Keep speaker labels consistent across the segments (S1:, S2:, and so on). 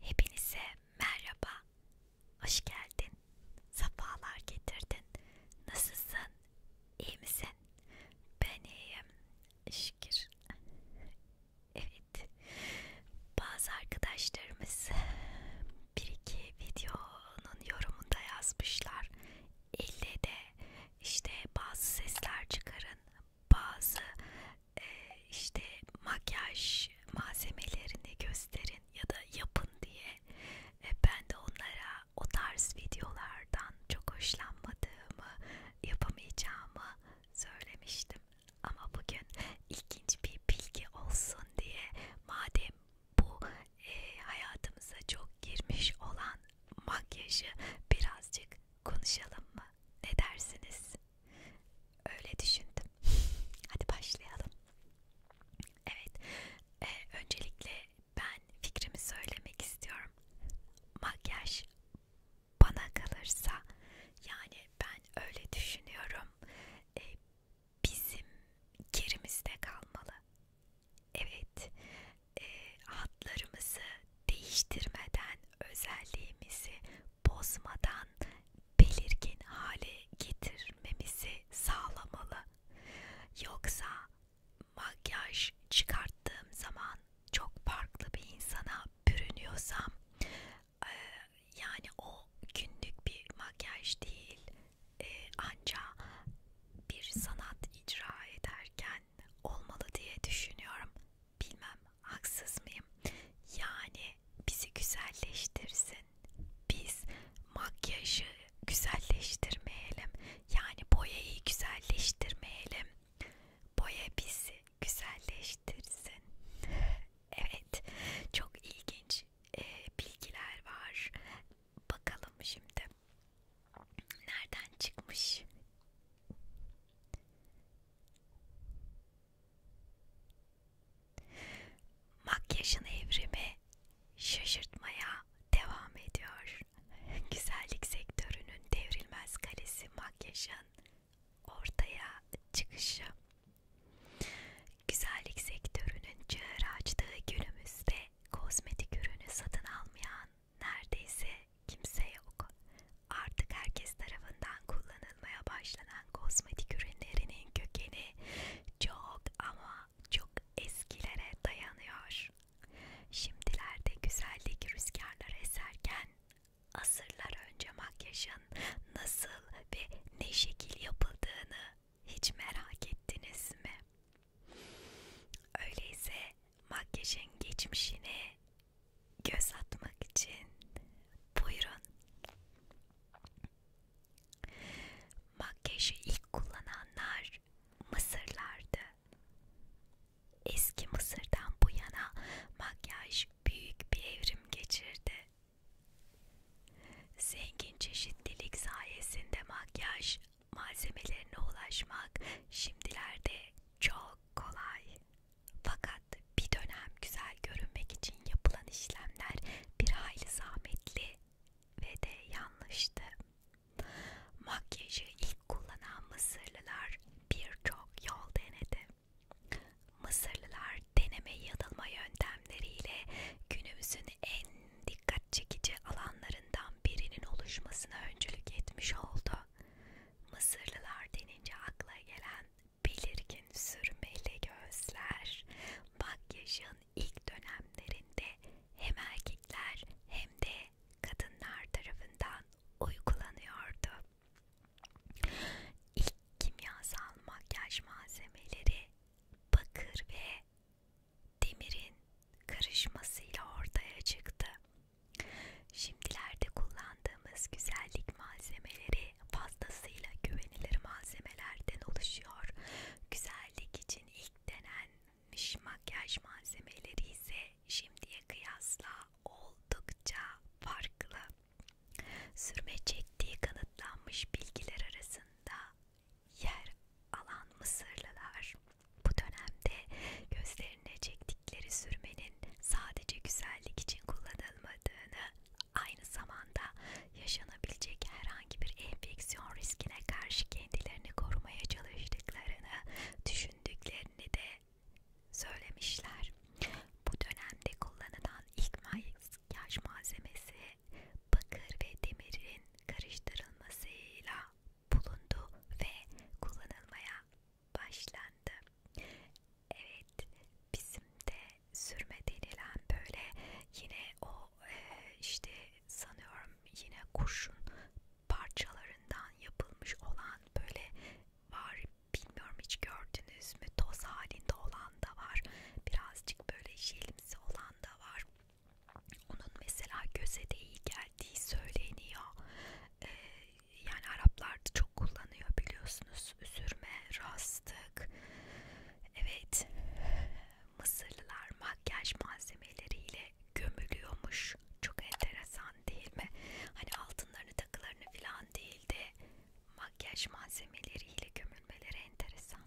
S1: Hepinize merhaba. Hoş geldin. Safalar getirdin. Nasılsın? İyi misin? Ben iyiyim. Şükür. evet bazı arkadaşlarımız bir iki videonun yorumunda yazmışlar. İlle de işte bazı sesler çıkarın, bazı e, işte makyaj malzemelerini gösterin ya da yapın diye. E, ben de onlara o tarz videolardan çok hoşlanmadığımı, yapamayacağımı söylemiştim. Ama bugün ilginç bir bilgi olsun diye madem bu e, hayatımıza çok girmiş olan makyajı birazcık konuşalım mı? Ne dersiniz? Öyle düşündüm. Hadi başlayalım. Evet, e, öncelikle ben fikrimi söylemek istiyorum. Makyaj bana kalırsa, yani ben öyle düşünüyorum. E, bizim gerimizde kalmalı. Evet, e, hatlarımızı değiştirmeden, özelliğimizi bozmadan belirgin hale getirmemizi sağlamalı. Yoksa makyaj çıkarttığım zaman çok farklı bir insana bürünüyorsam e, yani o günlük bir makyaj değil e, ancak bir sanat icra ederken olmalı diye düşünüyorum. Bilmem haksız mıyım? Yani bizi güzelleştirsin. Biz makyajı güzelleştirmeyelim. Yani boyayı güzelleştirmeyelim. Boya bizi güzelleştirsin. evet, çok ilginç e, bilgiler var. Bakalım şimdi nereden çıkmış? Makyajın evrimi şaşırtmaya devam ediyor. Güzellik sektörünün devrilmez kalesi makyajın ortaya çıkışı. Güzellik sektörünün çığır açtığı günümüzde kozmetik ürünü satın almayan neredeyse kimse yok. Artık herkes tarafından kullanılmaya başlanan kozmetik ürünlerinin kökeni çok ama çok eskilere dayanıyor. Şimdilerde güzellik rüzgarları eserken asırlar önce makyajın nasıl ve ne şekil yapıldığını hiç merak ettiniz mi? Öyleyse makyajın geçmişine göz atmak için buyurun. Makyajı ilk kullananlar Mısırlardı. Eski Mısır'dan bu yana makyaj büyük bir evrim geçirdi. Zengin çeşitlilik sayesinde makyaj malzemelerine ulaşmak şimdilerde çok kolay. Fakat bir dönem güzel görünmek için yapılan işlemler bir hayli zahmetli ve de yanlıştı. Makyajı ilk kullanan Mısırlılar birçok yol denedi. Mısırlılar deneme yanılma yöntemleriyle günümüzün en dikkat çekici alanlarından birinin oluşmasına öncülük etmiş oldu. Mısırlılar denince akla gelen belirgin sürmeli gözler, makyajın ilk dönemlerinde hem erkekler hem de kadınlar tarafından uygulanıyordu. İlk kimyasal makyaj malzemeleri bakır ve demirin karışmasıyla ortaya çıktı. Şimdilerde kullandığımız güzellik malzemeleri fazlasıyla güvenilir malzemelerden oluşuyor. Güzellik için ilk denenmiş makyaj malzemeleri ise şimdiye kıyasla oldukça farklı. Sürme çektiği kanıtlanmış bilgiler arasında yer alan Mısırlılar bu dönemde gözlerine çektikleri sürmenin sadece güzellik için kullanılmadığını aynı zamanda yaşanabilecek herhangi bir enfeksiyon riskine karşı kendilerini korumaya çalıştıklarını düşündüklerini de söylemişler. Bu dönemde kullanılan ilk makyaj malzemesi bakır ve demirin karıştırılmasıyla bulundu ve kullanılmaya başlandı. Evet, bizim de sürme denilen böyle yine o e, işte sanıyorum yine kurşun parçalarından yapılmış olan böyle var bilmiyorum hiç gördünüz mü toz halinde olan da var birazcık böyle jel tedavisi olan da var. Onun mesela göze de iyi geldiği söyleniyor. Ee, yani Araplar da çok kullanıyor biliyorsunuz. Üzürme, rastık. Evet. Mısırlılar makyaj malzemeleriyle gömülüyormuş. Çok enteresan değil mi? Hani altınlarını takılarını falan değil de makyaj malzemeleriyle gömülmeleri enteresan.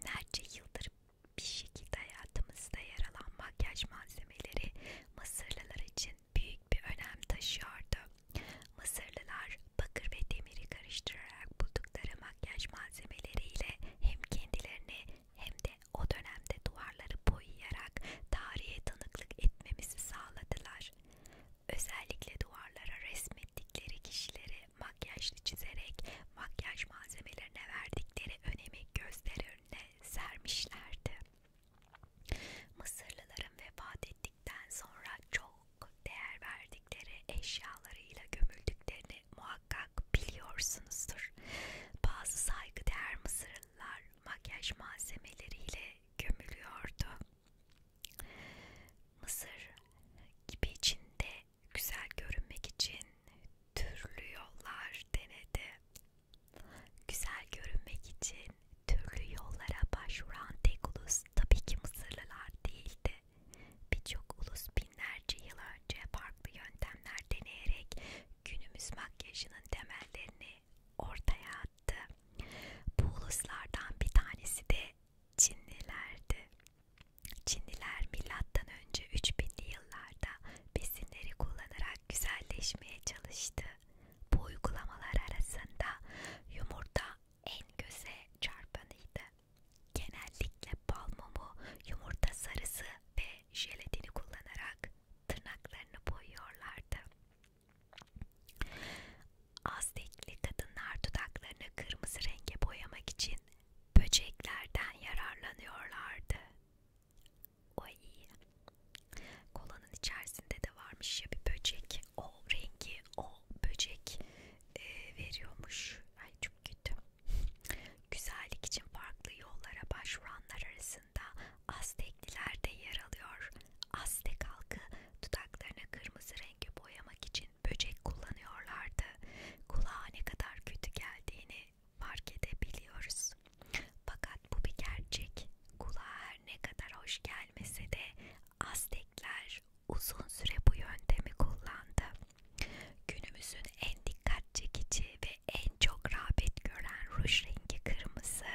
S1: Binlerce yıldır bir şekilde hayatımızda yer alan makyaj malzemeleri Mısırlılar için büyük bir önem taşıyordu. Mısırlılar bakır ve demiri karıştırarak buldukları makyaj malzemeleriyle hem kendilerini hem de o dönemde duvarları boyayarak tarihe tanıklık etmemizi sağladılar. Özellikle duvarlara resmettikleri kişileri makyajlı çizerek makyaj malzemelerine verdikleri önemi gözler önüne sermişlerdi. Mısırlıların vefat ettikten sonra çok değer verdikleri eşyalarıyla gömüldüklerini muhakkak biliyorsunuzdur. Bazı saygıdeğer Mısırlılar makyaj malzemeleriyle gömülüyordu. Mısır gibi içinde güzel görünmek için türlü yollar denedi. Güzel görünmek için türlü yollara başvuran tek ulus tabii ki Mısırlılar değildi. Birçok ulus binlerce yıl önce farklı yöntemler deneyerek günümüz makyajının temellerini ortaya attı. Bu uluslardan bir tanesi de Çinlilerdi. Çinliler milattan önce 3000'li yıllarda besinleri kullanarak güzelleşmeye çalıştı. Bu uygulamalar arasında yumurta en göze çarpanıydı. Genellikle bal mumu, yumurta sarısı ve jelatini kullanarak tırnaklarını boyuyorlardı. Aztekli kadınlar dudaklarını kırmızı renge boyamak için böceklerden yararlanıyorlardı. Oy. Kolanın içerisinde de varmış ya bir böcek. O rengi o böcek e, veriyormuş. Ay çok kötü. Güzellik için farklı yollara başvuranlar arasında Aztekliler de yer alıyor. Aztek halkı Dudaklarını kırmızı renge boyamak için böcek kullanıyorlardı. Kulağa ne kadar kötü geldiğini fark edebiliyoruz. Fakat bu bir gerçek. Kulağa her ne kadar hoş gelmese de Aztekler uzun süre bu yöntemi kullandı. Günümüzün en dikkat çekici ve en çok rağbet gören ruj rengi kırmızı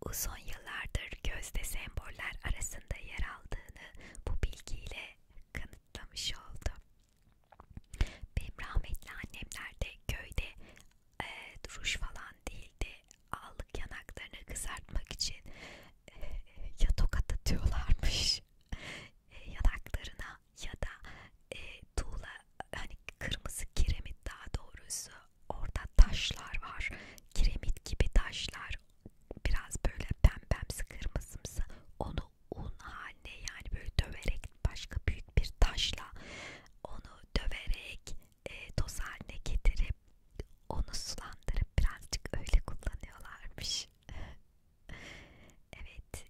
S1: uzun yıllardır gözde semboller arasında yer aldığını bu bilgiyle kanıtlamış oldu. Benim rahmetli annemler de köyde e, duruş falan değildi. Allık yanaklarını kızartmak için e, ya tokat atıyorlarmış e, yanaklarına ya da e, tuğla hani kırmızı kiremit daha doğrusu orada taşlar var kiremit gibi taşlar biraz böyle pembemsi kırmızımsı onu un haline yani böyle döverek başka büyük bir taşla onu döverek e, toz haline getirip onu sulandırıp birazcık öyle kullanıyorlarmış. evet,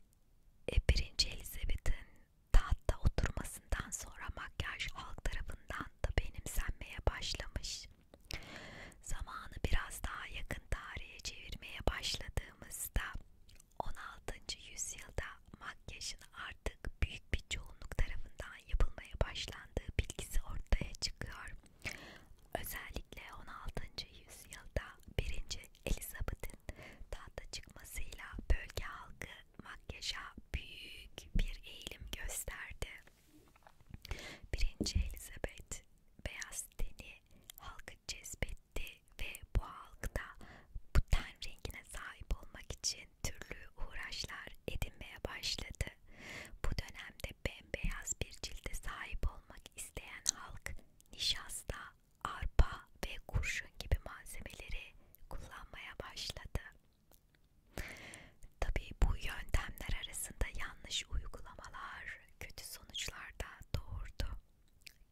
S1: e, birinci Elizabeth'in tahtta oturmasından sonra makyaj halk tarafından da benimsenmeye başlamış. Zamanı biraz daha yakın tarihe çevirmeye başladığımızda 16. yüzyılda makyajın artık büyük bir çoğunluk tarafından yapılmaya başlandığı bilgisi ortaya çıkıyor. Özellikle 16. yüzyılda 1. Elizabeth'in tahta çıkmasıyla bölge halkı makyaja büyük bir eğilim gösterdi. Birinci Elizabeth beyaz teni halkı cezbetti ve bu halkta bu ten rengine sahip olmak için türlü uğraşlar edinmeye başladı. Bu dönemde bembeyaz bir cilde sahip olmak isteyen halk nişasta, arpa ve kurşun gibi malzemeleri kullanmaya başladı. Tabii bu yöntemler arasında yanlış uygulamalar, kötü sonuçlar da doğurdu.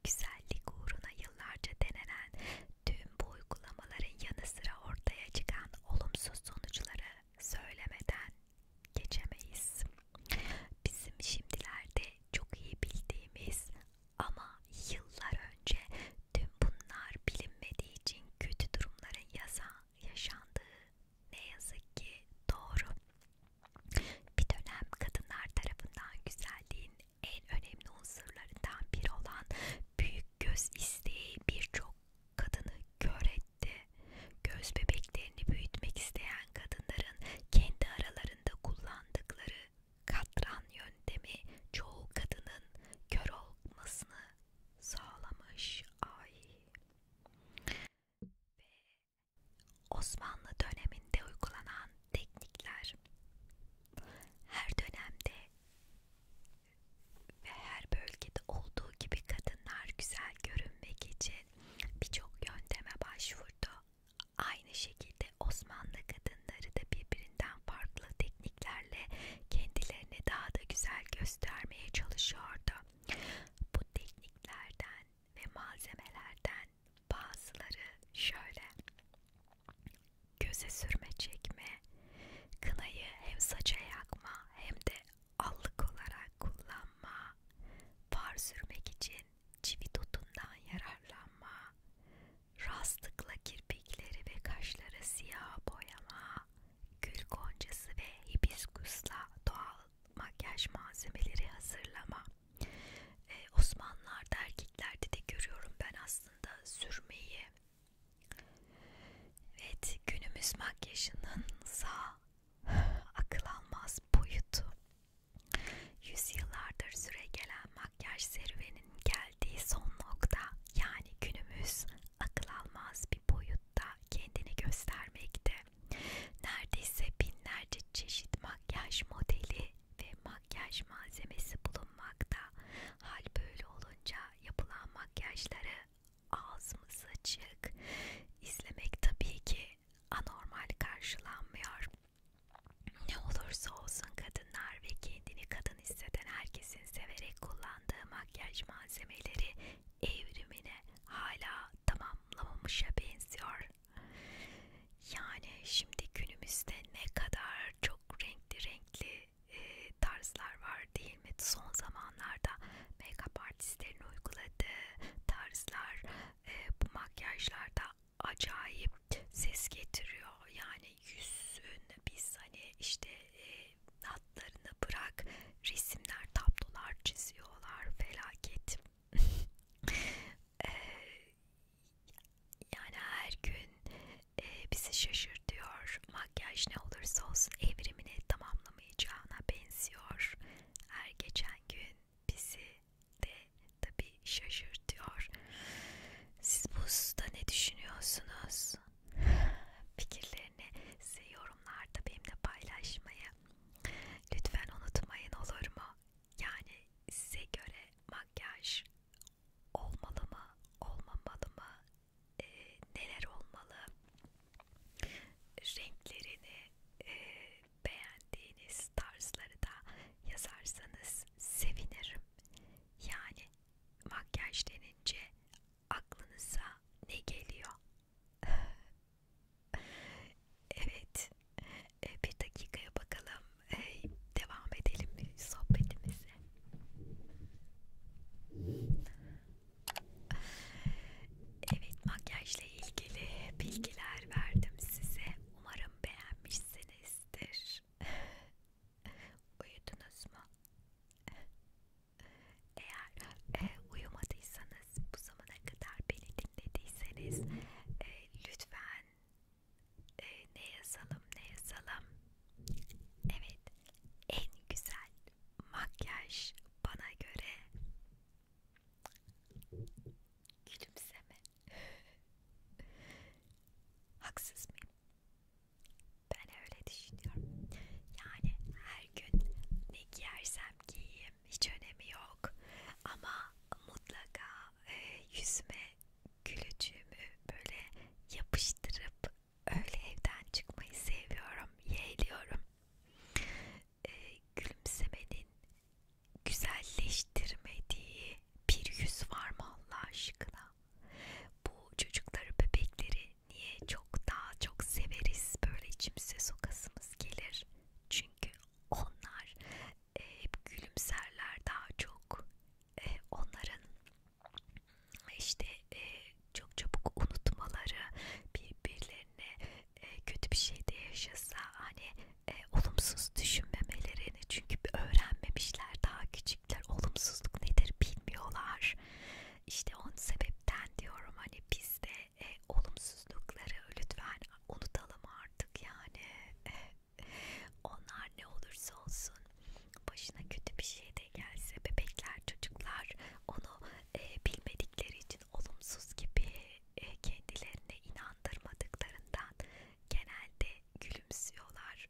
S1: Güzellik uğruna yıllarca denenen tüm bu uygulamaların yanı sıra ortaya çıkan olumsuz sonuçları söylemeden geçemeyiz. Bizim şimdilerde çok iyi bildiğimiz ama yıllar önce tüm bunlar bilinmediği için kötü durumların yazan yaşandığı ne yazık ki doğru. Bir dönem kadınlar tarafından güzelliğin en önemli unsurlarından biri olan büyük göz isteği birçok kadını kör etti. Göz bebeklerini büyütmek isteyen kadınların kendi aralarında kullandıkları katran yöntemi çoğu kadının kör olmasını sağlamış. Ay. Ve Osmanlı döneminde uygulanan teknikler her dönemde ve her bölgede olduğu gibi kadınlar güzel görünmek için birçok yönteme başvurdu. Aynı şekilde Osmanlı kadınları da birbirinden farklı tekniklerle kendilerini daha da güzel göstermeye çalışıyordu. Bu tekniklerden ve malzemelerden bazıları şöyle göze sürme çekme, kınayı hem saça yakma hem de allık olarak kullanma, far sürmek için çivi tutundan yararlanma, rastlıkla kirpikleri ve kaşları siyah boyama, gül goncası ve hibiskusla doğal makyaj malzemeleri hazırlama. Ee, Osmanlılarda erkeklerde de görüyorum ben aslında sürmeyi. Evet günümüz makyajının sağ akıl almaz boyutu. Yüzyıllardır süre gelen makyaj serüveninin geldiği son nokta yani günümüz akıl almaz bir boyutta kendini göstermekte. Neredeyse binlerce çeşit makyaj modeli ve makyaj malzemesi bulunmakta. Hal böyle olunca yapılan makyajları ağzımız açık izlemek tabii ki anormal karşılanmıyor. Ne olursa olsun kadınlar ve kendini kadın hisseden herkesin severek kullandığı makyaj malzemeleri evrimine hala tamam tamamlamamışa benziyor. Yani şimdi günümüzde ne kadar çok renkli renkli e, tarzlar var değil mi? Son zamanlarda make-up artistlerin uyguladığı tarzlar e, bu makyajlarda acayip ses getiriyor. Yani yüzün biz hani işte e, hatlarını bırak resimler, tablolar çiziyorlar, felaket. e, yani her gün e, bizi şaşırtıyor. Makyaj ne olursa olsun evrimini tamamlamayacağına benziyor. Her geçen gün bizi de tabi şaşırtıyor. Siz bu hususta ne düşünüyorsunuz? Fikirlerini size yorumlarda benimle paylaşmayı Lütfen unutmayın olur mu? Yani size göre makyaj olmalı mı, olmamalı mı, e, neler olmalı, renklerini e, beğendiğiniz tarzları da yazarsanız sevinirim. Yani makyaj denince aklınıza ne geliyor? evet, ee, bir dakikaya bakalım. Ee, devam edelim mi sohbetimize? Evet, makyajla ilgili bilgiler verdim size. Umarım beğenmişsinizdir. Uyudunuz mu? Eğer e, uyumadıysanız, bu zamana kadar beni dinlediyseniz e, lütfen e, ne yazalım ne yazalım. Evet, en güzel makyaj bana göre gülümseme. Haksız mıyım? Ben öyle düşünüyorum. Yani her gün ne giyersem giyeyim değilim. Hiç önemi yok. Ama mutlaka e, yüzme gülücüğümü böyle yapıştırıp öyle evden çıkmayı seviyorum. Yeğliyorum. E, gülümsemenin güzelleştirmediği bir yüz var mı Allah aşkına? Bu çocukları, bebekleri niye çok daha çok severiz? Böyle içimize sokasımız gelir. Çünkü onlar e, hep gülümserler daha çok. E, onların işte e, çok çabuk unutmaları, birbirlerine e, kötü bir şey de yaşasa hani e, olumsuz düşünmemelerini çünkü öğrenmemişler daha küçükler olumsuzluk nedir bilmiyorlar. İşte on sebepten diyorum hani biz de e, olumsuzlukları lütfen unutalım artık yani e, onlar ne olursa olsun başına kötü bir şey de gelse bebekler çocuklar onu e, bilmedikleri için olumsuz gibi e, kendilerine inandırmadıklarından genelde gülümsüyorlar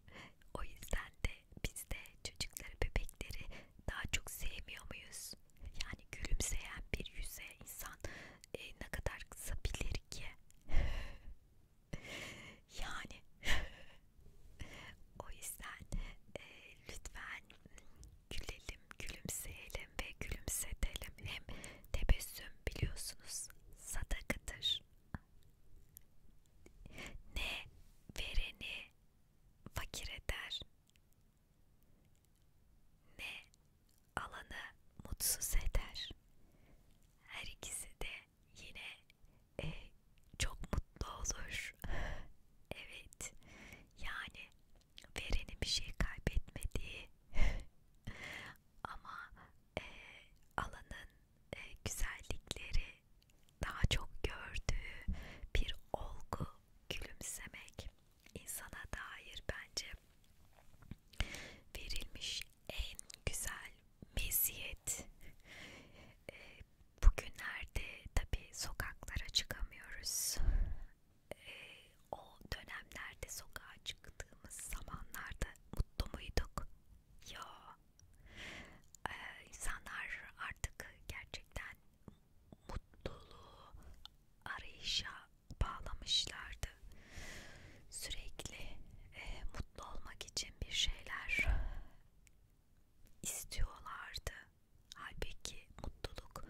S1: o yüzden de biz de çocukları bebekleri daha çok sevmiyor muyuz yani gülümseyen bir yüze insan e, ne kadar kızabilir ki? yani o yüzden e, lütfen gülelim, gülümseyelim ve gülümsetelim. Hem tebessüm biliyorsunuz sadakadır. Ne vereni fakir eder, ne alanı mutsuz eder. Her ikisi de yine e, çok mutlu olur. evet, yani verenin bir şey kaybetmediği ama e, alanın e, güzellikleri daha çok gördüğü bir olgu gülümsemek insana dair bence verilmiş en güzel meziyet. Ee, bugünlerde tabi sokaklara çıkamıyoruz. Ee, o dönemlerde sokağa çıktığımız zamanlarda mutlu muyduk? Yo. Ee, insanlar artık gerçekten mutluluğu arayışa bağlamışlardı. Sürekli e, mutlu olmak için bir şeyler istiyorlardı. Halbuki mutluluk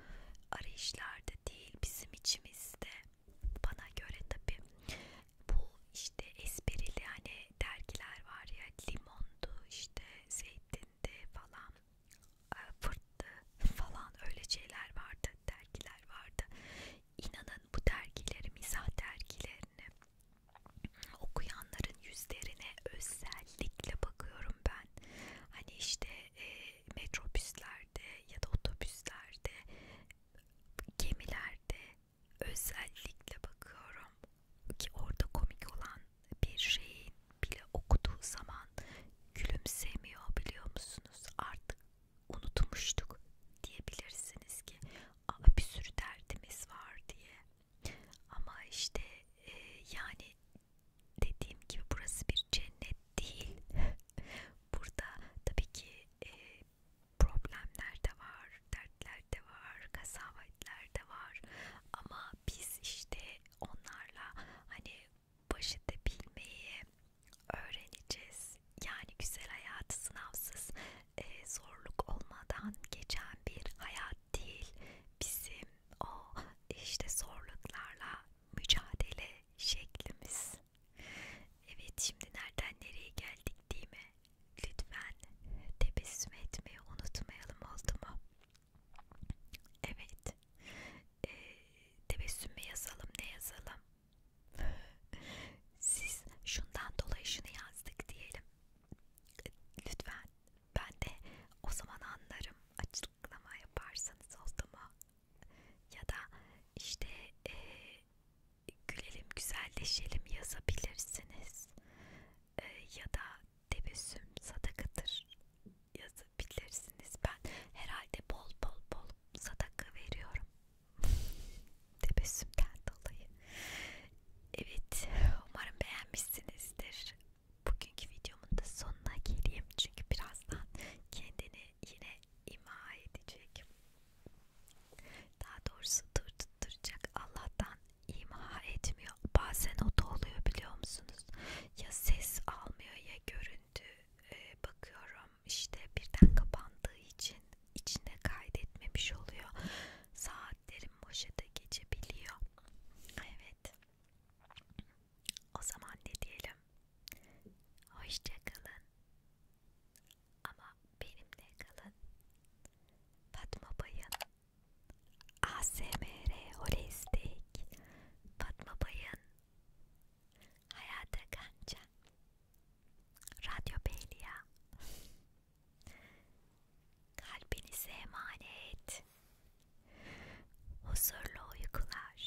S1: arayışlarda değil bizim içimizde. Bana göre tabi bu işte esprili hani dergiler var ya limondu işte zeytindi falan fırttı falan öyle şeyler vardı, dergiler vardı. İnanın bu dergileri, mizah dergilerini okuyanların yüzlerine özellikle bakıyorum ben. Hani işte e, metrobüslerde ya da otobüslerde, gemilerde özellikle bakıyorum ki orada komik olan bir şeyin bile okuduğu zaman gülümsemiyor biliyor musunuz? Artık unutmuştuk diyebilirsiniz ki Aa, bir sürü derdimiz var diye. Ama işte e, yani dediğim gibi burası bir cennet değil. Burada tabii ki e, problemler de var, dertler de var, kasavetler de var. Ama biz işte onlarla hani baş edebilmeyi öğreneceğiz. Yani güzel hayat sınavsız, e, zorluk olmadan geçen bir hayat değil. Bizim o işte zorluklarla mücadele şeklimiz. Evet şimdi nereden nereye geldik değil mi? Lütfen tebessüm etmeyi unutmayalım oldu mu? Evet. Ee, tebessüm mü yazalım ne yazalım? Siz şundan dolayı şunu yazdık diyelim. Lütfen. Ben de o zaman anlarım. Açıklama yaparsanız oldu mu? Ya da işte e, gülelim güzelleşelim yazabilirsiniz. E, ya da tebessüm sadakadır yaz bilirsiniz ben herhalde bol bol bol sadaka veriyorum tebessümden dolayı evet umarım beğenmişsinizdir bugünkü videomun da sonuna geleyim çünkü birazdan kendini yine ima edecek daha doğrusu dur tutturacak Allah'tan ima etmiyor bazen o da oluyor biliyor musunuz ya ses almıyor ya görün şimdi e, ee, bakıyorum işte birden kapandığı için içine kaydetmemiş oluyor. Saatlerim boşada geçebiliyor. Evet. O zaman ne diyelim? Hoşçakalın. Ama benimle kalın. Fatma Bay'ın ASMR Holistik Fatma Bay'ın Hayata Kanca Radyo Beyliya Kalbinize emanet Huzurlu uykular